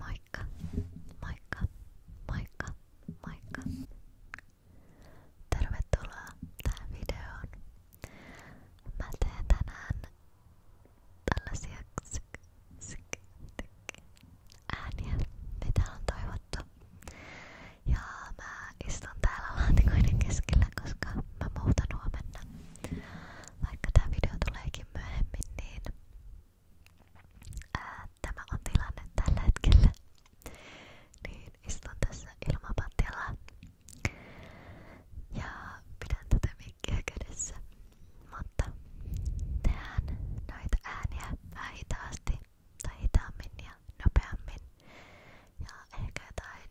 Moikka, moikka, moikka, moikka. Tervetuloa tähän videoon. Mä teen tänään tällaisia ksik, ksik, ksik, ääniä, mitä on toivottu. Ja mä istun täällä laatikoiden keskellä, koska mä muutan huomenna. Vaikka tää video tuleekin myöhemmin, niin Ää, tämä on tilanne tällä niin, istun tässä ilmapatjalla ja pidän tätä mikkiä Mutta tehdään näitä ääniä vähän hitaasti tai hitaammin ja nopeammin. Ja ehkä jotain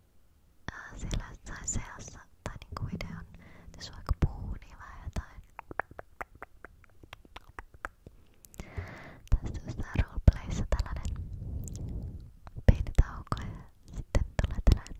ää, äh, siellä jossain seassa tai niinku videon, jos vaikka puhuu niin vähän jotain. Tästä jostain roleplayssa tällainen pieni tauko ja sitten tulee tällainen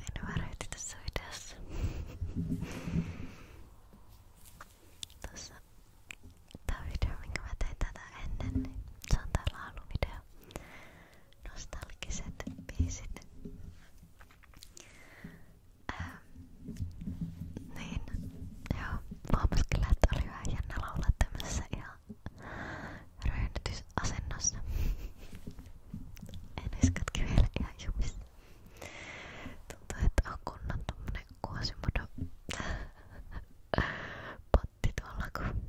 En väretti tässä videossa. Tuossa tämä video, minkä mä tein tätä ennen, niin se on tää lauluvideo. Nostalgiset biisit. Äh, niin, joo, huomasin kyllä, että oli vähän jännä laulaa tämmössä ihan ryhdytysasennossa. en edes katke vielä ihan jumissa. Tuntuu, että on kunnon tommonen kuosimudo potti tuolla, kun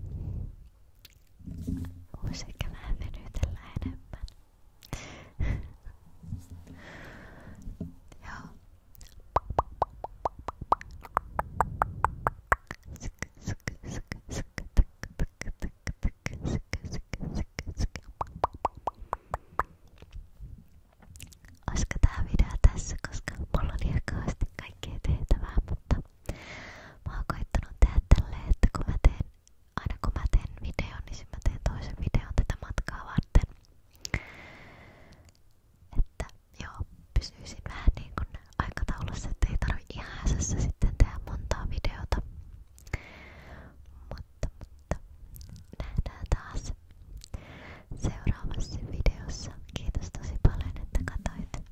voisi ehkä vähän venytellä enemmän. Joo, Olisiko tää video tässä, koska mulla on ihan kauheasti kaikkea tehtävää, mutta mä oon koittanut tehdä tälleen, että kun mä teen, aina kun mä teen videon, niin mä teen toisen videon tätä matkaa varten. Että joo, pysyisin vähän niin kuin aikataulussa, ettei tarvi ihan häsässä sitten tehdä montaa videota. Mutta, mutta nähdään taas seuraavassa videossa. Kiitos tosi paljon, että katsoit.